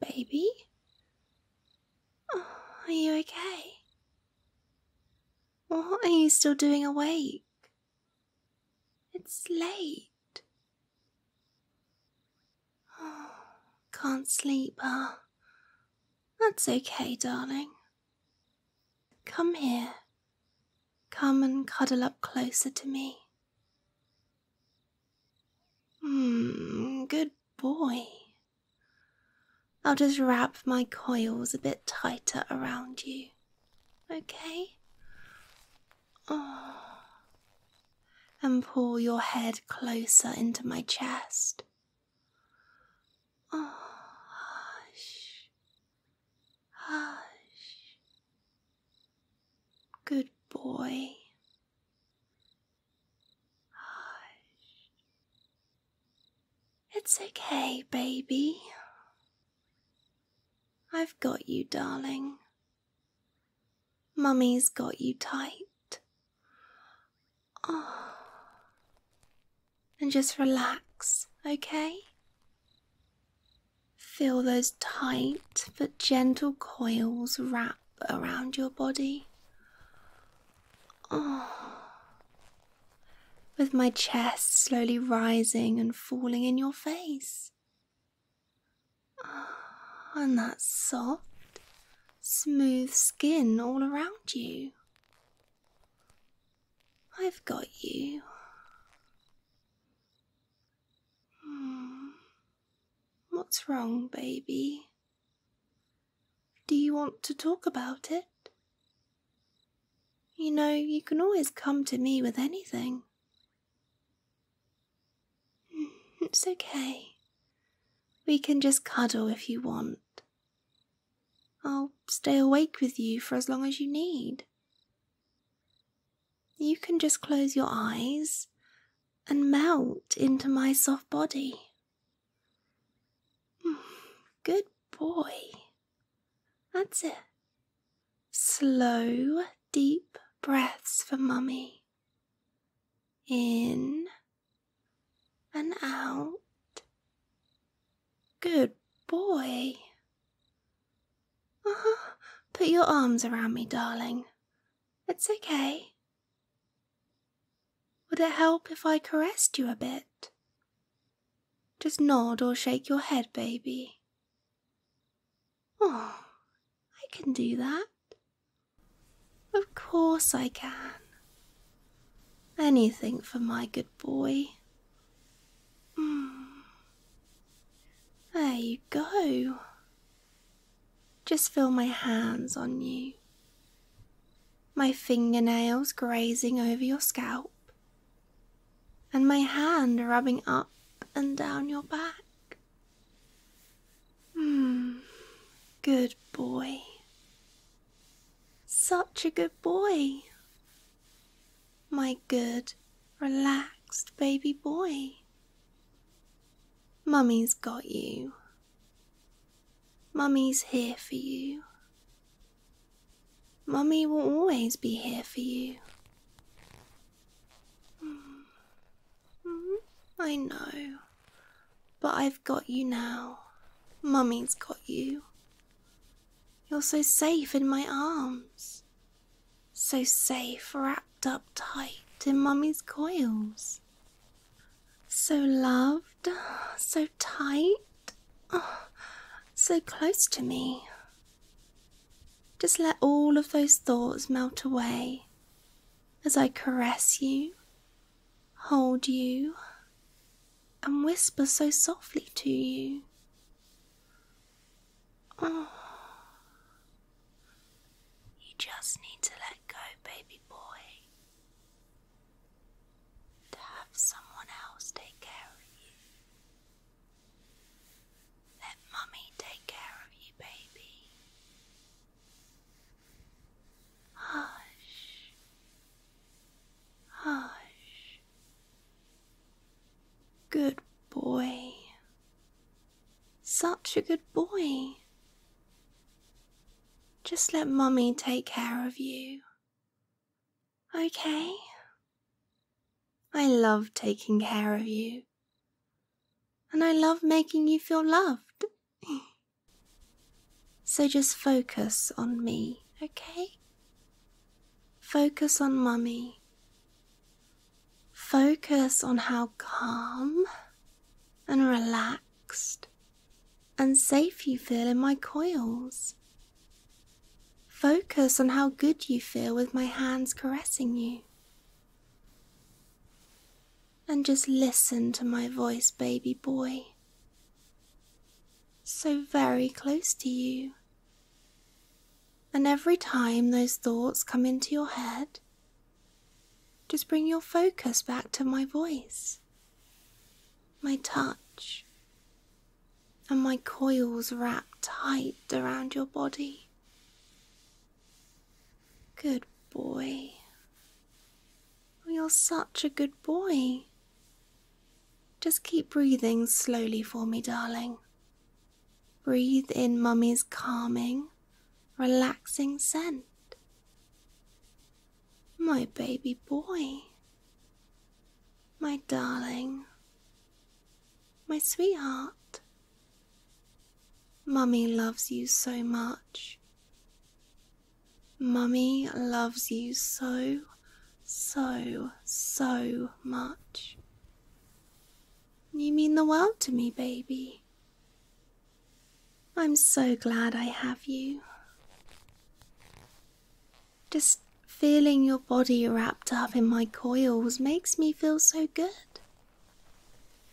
Baby? Oh, are you okay? What are you still doing awake? It's late. Oh, can't sleep, ah. That's okay, darling. Come here. Come and cuddle up closer to me. Hmm, good boy. I'll just wrap my coils a bit tighter around you. Okay? Oh. And pull your head closer into my chest. Oh, hush. Hush. Good boy. Hush. It's okay, baby. I've got you, darling. Mummy's got you tight. Oh and just relax, okay? Feel those tight but gentle coils wrap around your body. Oh. With my chest slowly rising and falling in your face. Oh, and that soft, smooth skin all around you. I've got you. Hmm. What's wrong, baby? Do you want to talk about it? You know, you can always come to me with anything. Hmm, it's okay. We can just cuddle if you want. I'll stay awake with you for as long as you need. You can just close your eyes and melt into my soft body. Good boy. That's it. Slow, deep breaths for mummy. In and out Good boy. Uh Put your arms around me, darling. It's okay. Would it help if I caressed you a bit? Just nod or shake your head, baby. Oh, I can do that. Of course I can. Anything for my good boy. There you go. Just feel my hands on you, my fingernails grazing over your scalp, and my hand rubbing up and down your back. Hmm. good boy. Such a good boy my good, relaxed baby boy. Mummy's got you. Mummy's here for you. Mummy will always be here for you. Hmm. Hmm. I know, but I've got you now. Mummy's got you. You're so safe in my arms, so safe wrapped up tight in Mummy's coils. So loved, so tight, oh, so close to me. Just let all of those thoughts melt away as I caress you, hold you, and whisper so softly to you. Oh. You just need to let go, baby boy, to have someone else take care of you. Let mummy take care of you, baby. Hush, hush, Good boy. Such a good boy. Just let mommy take care of you. Okay? I love taking care of you. And I love making you feel loved. so just focus on me, okay? Focus on mummy. Focus on how calm and relaxed and safe you feel in my coils. Focus on how good you feel with my hands caressing you. And just listen to my voice, baby boy. So very close to you and every time those thoughts come into your head, just bring your focus back to my voice, my touch, and my coils wrapped tight around your body. Good boy. You're such a good boy. Just keep breathing slowly for me, darling. Breathe in Mummy's calming, relaxing scent. My baby boy. My darling. My sweetheart. Mummy loves you so much. Mummy loves you so so, so much. You mean the world to me, baby. I'm so glad I have you. Just feeling your body wrapped up in my coils makes me feel so good.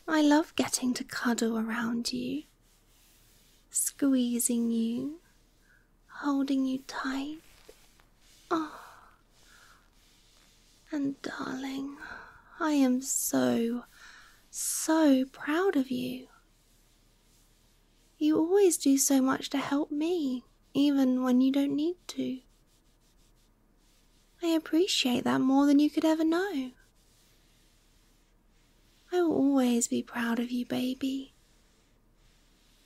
I love getting to cuddle around you, squeezing you, holding you tight. Oh. And darling, I am so, so proud of you. You always do so much to help me, even when you don't need to. I appreciate that more than you could ever know. I will always be proud of you, baby,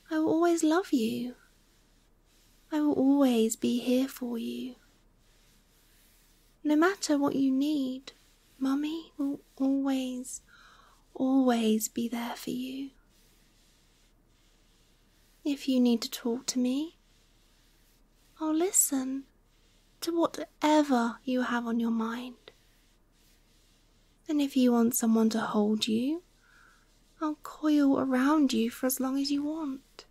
I will always love you. I will always be here for you. No matter what you need, Mummy will always, always be there for you. If you need to talk to me, I'll listen to whatever you have on your mind. And if you want someone to hold you, I'll coil around you for as long as you want.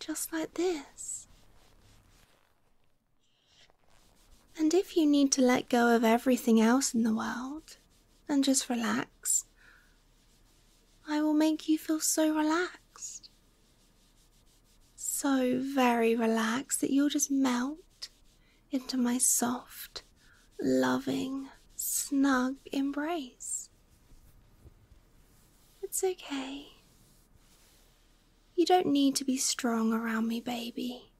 Just like this. And if you need to let go of everything else in the world and just relax, I will make you feel so relaxed. So very relaxed that you'll just melt into my soft, loving, snug embrace. It's okay. You don't need to be strong around me, baby.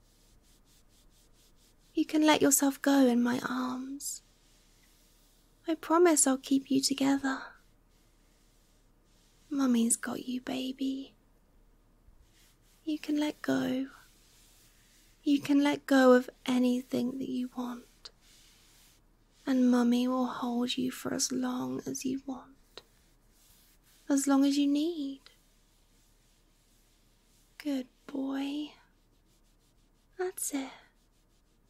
You can let yourself go in my arms. I promise I'll keep you together. Mummy's got you, baby. You can let go. You can let go of anything that you want. And Mummy will hold you for as long as you want, as long as you need. Good boy. That's it.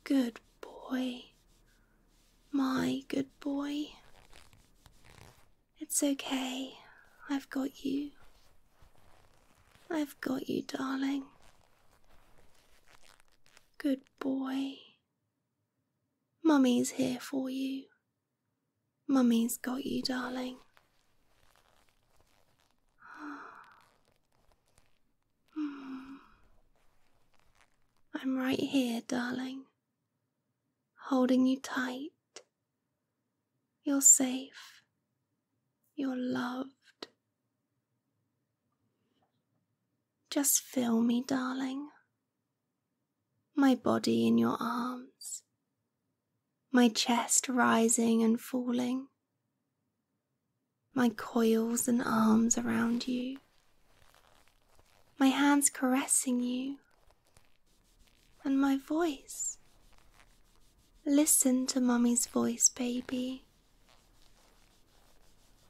Good boy. My good boy. It's okay. I've got you. I've got you, darling. Good boy. Mummy's here for you. Mummy's got you, darling. Hmm. I'm right here, darling, holding you tight. You're safe. You're loved. Just feel me, darling. My body in your arms, my chest rising and falling, my coils and arms around you, my hands caressing you, and my voice. Listen to Mummy's voice, baby,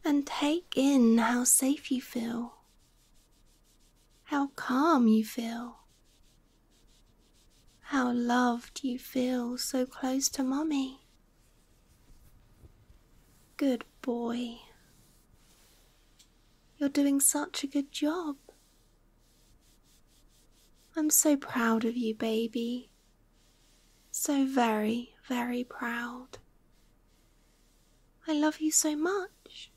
and take in how safe you feel, how calm you feel, how loved you feel so close to Mummy. Good boy. You're doing such a good job. I'm so proud of you, baby. So very, very proud. I love you so much.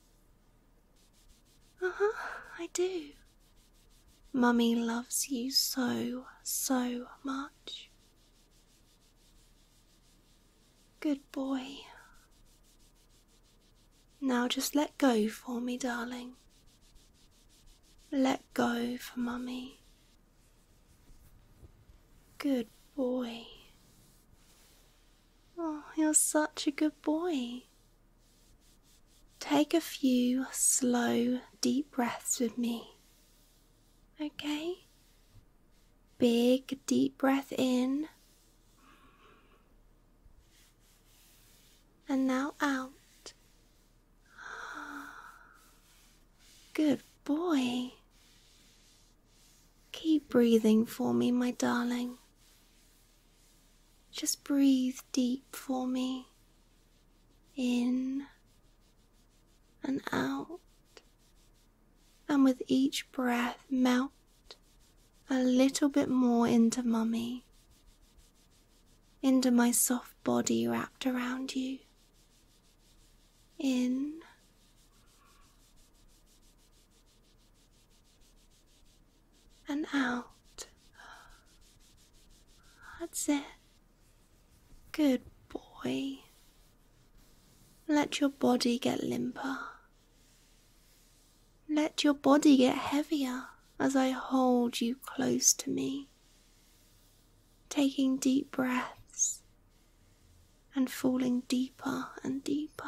Uh I do. Mummy loves you so, so much. Good boy. Now just let go for me, darling. Let go for mummy. Good boy. Oh, you're such a good boy. Take a few slow, deep breaths with me. Okay? Big, deep breath in and now out. Good boy. Keep breathing for me, my darling. Just breathe deep for me. In and out. And with each breath, melt a little bit more into mummy into my soft body wrapped around you. In and out. That's it. Good boy. Let your body get limper. Let your body get heavier as I hold you close to me, taking deep breaths and falling deeper and deeper.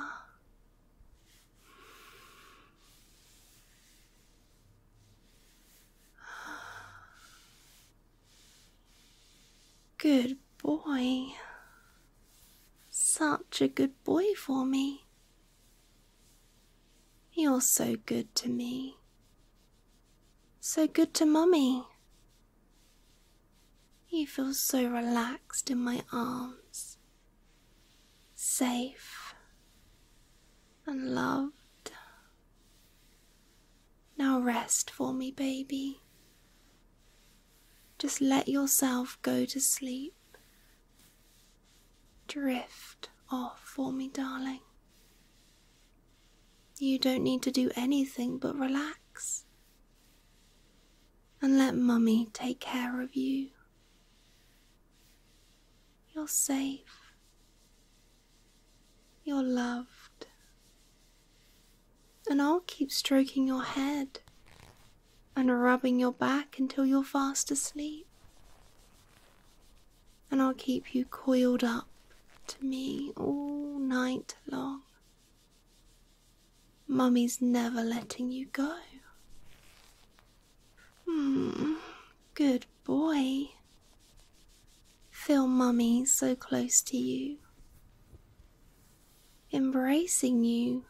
Good boy. Such a good boy for me. You're so good to me. So good to Mummy. You feel so relaxed in my arms, safe and loved. Now rest for me, baby. Just let yourself go to sleep Drift off for me, darling. You don't need to do anything but relax and let Mummy take care of you. You're safe, you're loved, and I'll keep stroking your head and rubbing your back until you're fast asleep and I'll keep you coiled up to me all night long. Mummy's never letting you go. Hmm, good boy. Feel Mummy so close to you, embracing you,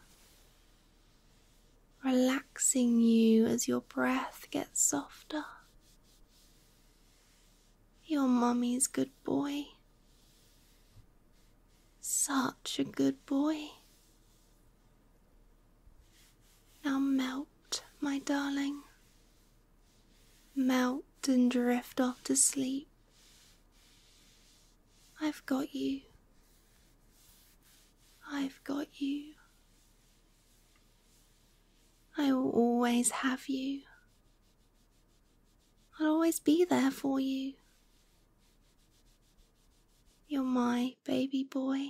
relaxing you as your breath gets softer. Your mummy's good boy. Such a good boy. Now melt, my darling. Melt and drift off to sleep. I've got you. I've got you. I will always have you. I'll always be there for you. You're my baby boy.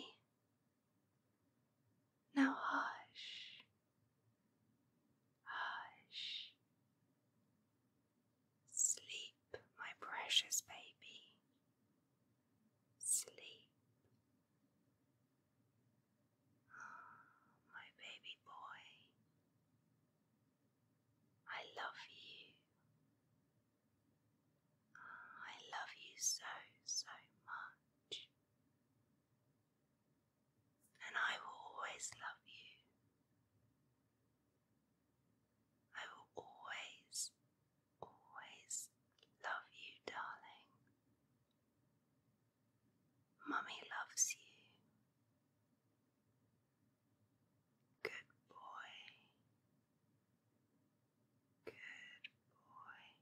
Now hush, hush. Sleep, my precious baby. Sleep. My baby boy, I love you. I love you so, so much. And I will always love you. I will always Always love you, darling. Mummy loves you. Good boy. Good boy.